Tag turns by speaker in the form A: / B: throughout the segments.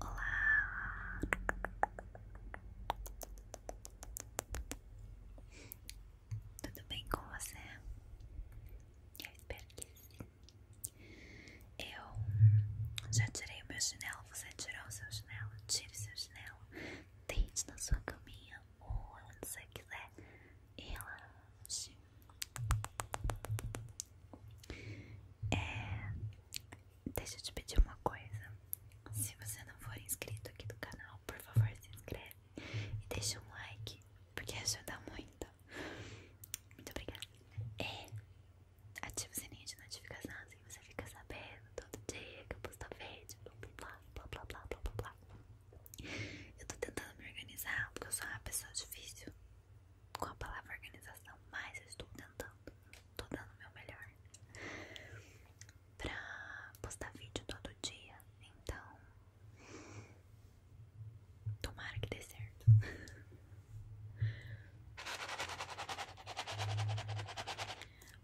A: Olá! Tudo bem com você? Eu espero que sim. Eu já tirei o meu chinelo. Você tirou o seu chinelo? Tire seu chinelo. Deite na sua caminha ou onde você quiser. E é, deixa eu te pedir uma coisa. Se você não for inscrito aqui do canal, por favor se inscreve e deixa um like, porque ajuda muito. Muito obrigada. E é, ativa o sininho de notificação, assim você fica sabendo todo dia que eu posto vídeo, blá blá blá blá blá blá blá. Eu tô tentando me organizar porque eu sou uma pessoa difícil com a palavra organização, mas estou tentando, estou dando o meu melhor para postar vídeo todo dia, então tomara que dê certo.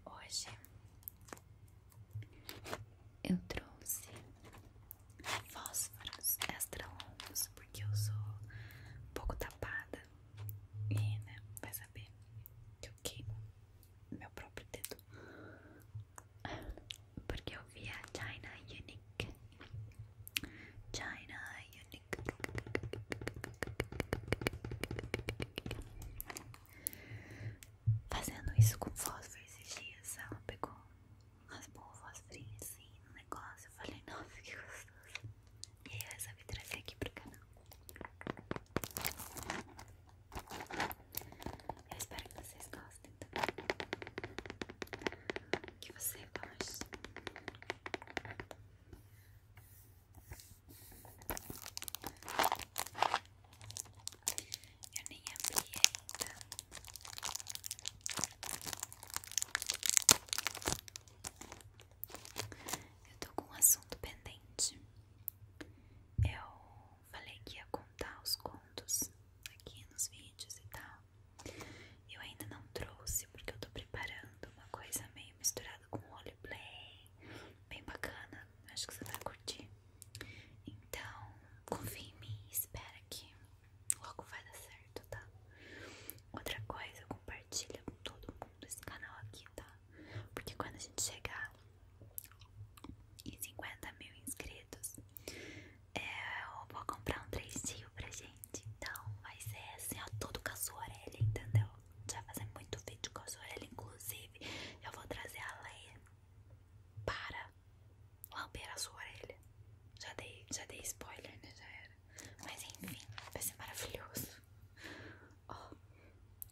A: Hoje eu trouxe fósforos extra longos, porque eu sou um pouco tapada e, né, vai saber que eu queimo meu próprio dedo. Porque eu vi a China Unique. China Unique. Fazendo isso com fósforo esses dias, ela pegou umas bolvas frias assim no negócio. Eu falei, não fica gostoso. E aí eu resolvi trazer aqui pro canal. Eu espero que vocês gostem também. Que você gosta Eu nem abri ainda. Eu tô com um assunto pendente. Eu falei que ia contar os contos aqui nos vídeos e tal. Eu ainda não trouxe porque eu tô preparando uma coisa meio misturada com o roleplay, bem bacana. Acho que você vai curtir. Então, confie em mim, e espera que Logo vai dar certo, tá? Outra coisa, compartilha com todo mundo esse canal aqui, tá? Porque quando a gente chegar em 50 mil inscritos, é, eu vou comprar um 3D pra gente. Então vai ser assim, ó, tudo com a sua orelha, entendeu? Vai fazer muito vídeo com a sua orelha, inclusive eu vou trazer a Leia para lamber sua orelha. Já dei, já dei spoiler, né? Já era. Mas enfim, vai ser maravilhoso. Ó,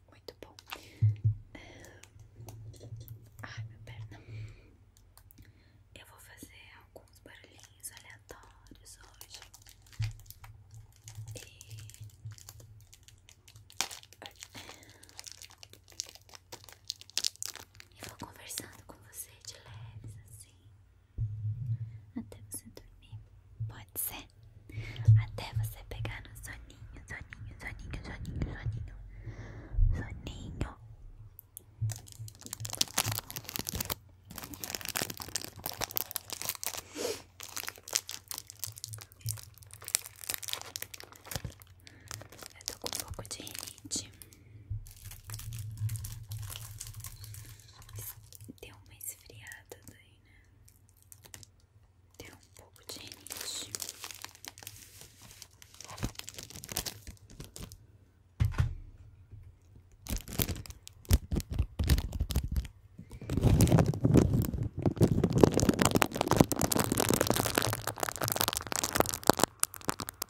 A: muito bom. Ah, ai, minha perna. Eu vou fazer alguns barulhinhos aleatórios hoje. E. E vou conversando com você de leves assim. Até você dormir. Pode ser? Até você pegar no soninho, soninho, soninho, soninho, soninho. Soninho. Eu tô com um pouco de rinite. Deu uma esfriada daí, né? Deu um pouco de rinite.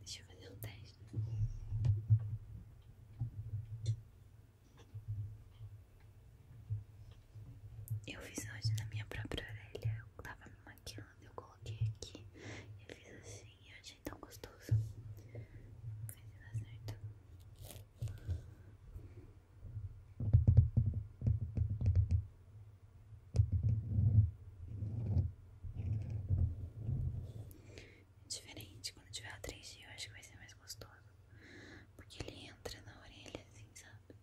A: Deixa eu fazer um teste. Eu fiz hoje na minha própria orelha. Eu tava me maquiando, eu coloquei aqui e eu fiz assim. Eu achei tão gostoso. Mas dá certo. É diferente, quando tiver a 3D eu acho que vai ser mais gostoso. Porque ele entra na orelha, assim, sabe?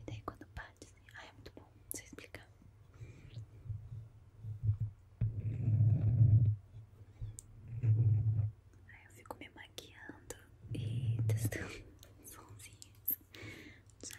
A: E daí quando bate, assim. Ah, é muito bom, não sei explicar. Aí eu fico me maquiando e testando sonzinhos Só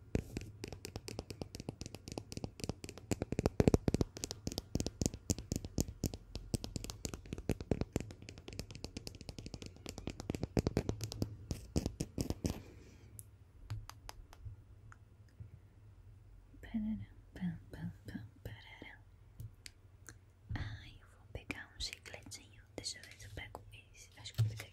A: Ah, eu vou pegar um chicletinho. Deixa eu ver se eu pego esse. Acho que eu peguei.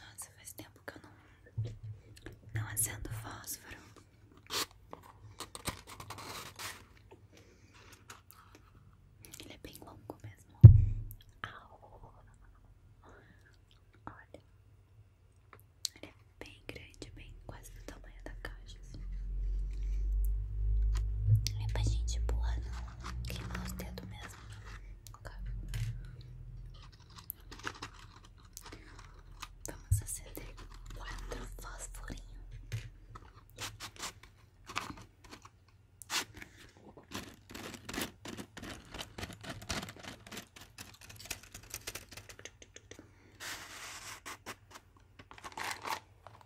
A: Nossa, faz tempo que eu não, não acendo fósforo. Ele é bem longo mesmo. Olha, ele é bem grande, bem quase do tamanho da caixa. Não assim. é pra gente pular, não. Queimar os dedos mesmo. Vamos acender quatro fósforinhos.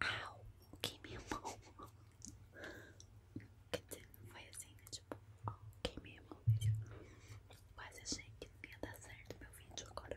A: Au, ok, minha mão. Quer dizer, não foi assim, né? Tipo, ok, minha mão. Quase achei que não ia dar certo meu vídeo agora.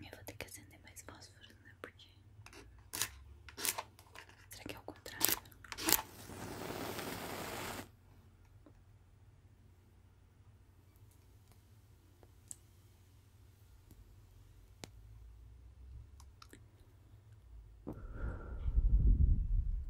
A: Eu vou ter que acender mais fósforo, né? Porque. Será que é o contrário?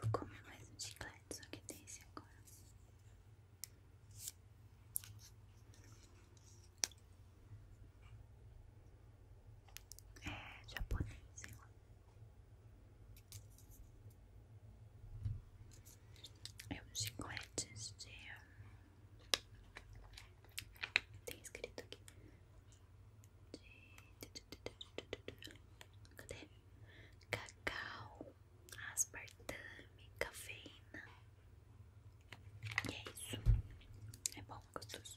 A: Vou comer mais um chiclete, só que desse agora. É japonês, sei É um chiclete de. Hum, tem escrito aqui. De, de Cadê? Cacau, aspartame, cafeína. E é isso. É bom, gostoso.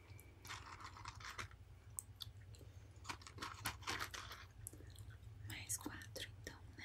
A: Mais quatro, então, né?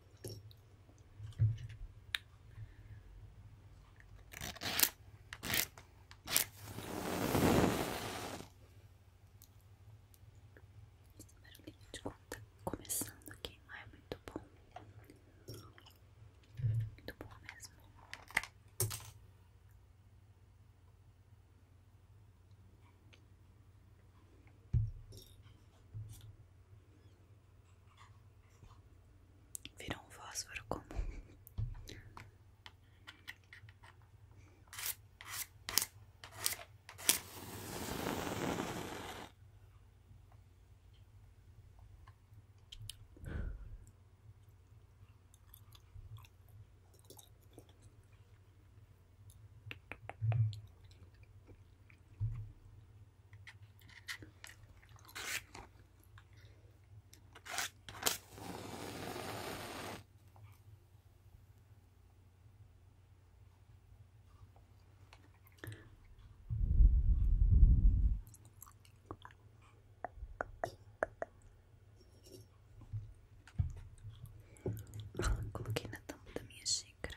A: Esse barulhinho de quando começando aqui queimar é muito bom. Muito bom mesmo. Virou um fósforo comum. Ah, coloquei na tampa da minha xícara.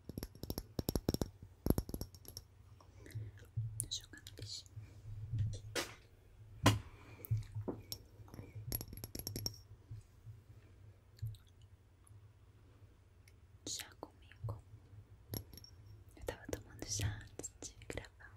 A: Vou no lixo. já comigo. Eu tava tomando chá de gravar.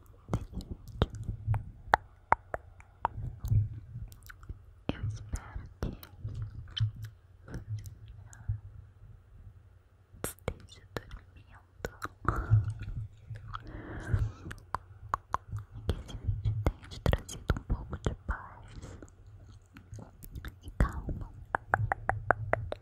A: Eu espero que esteja dormindo que esse vídeo tenha trazido um pouco de paz e calma.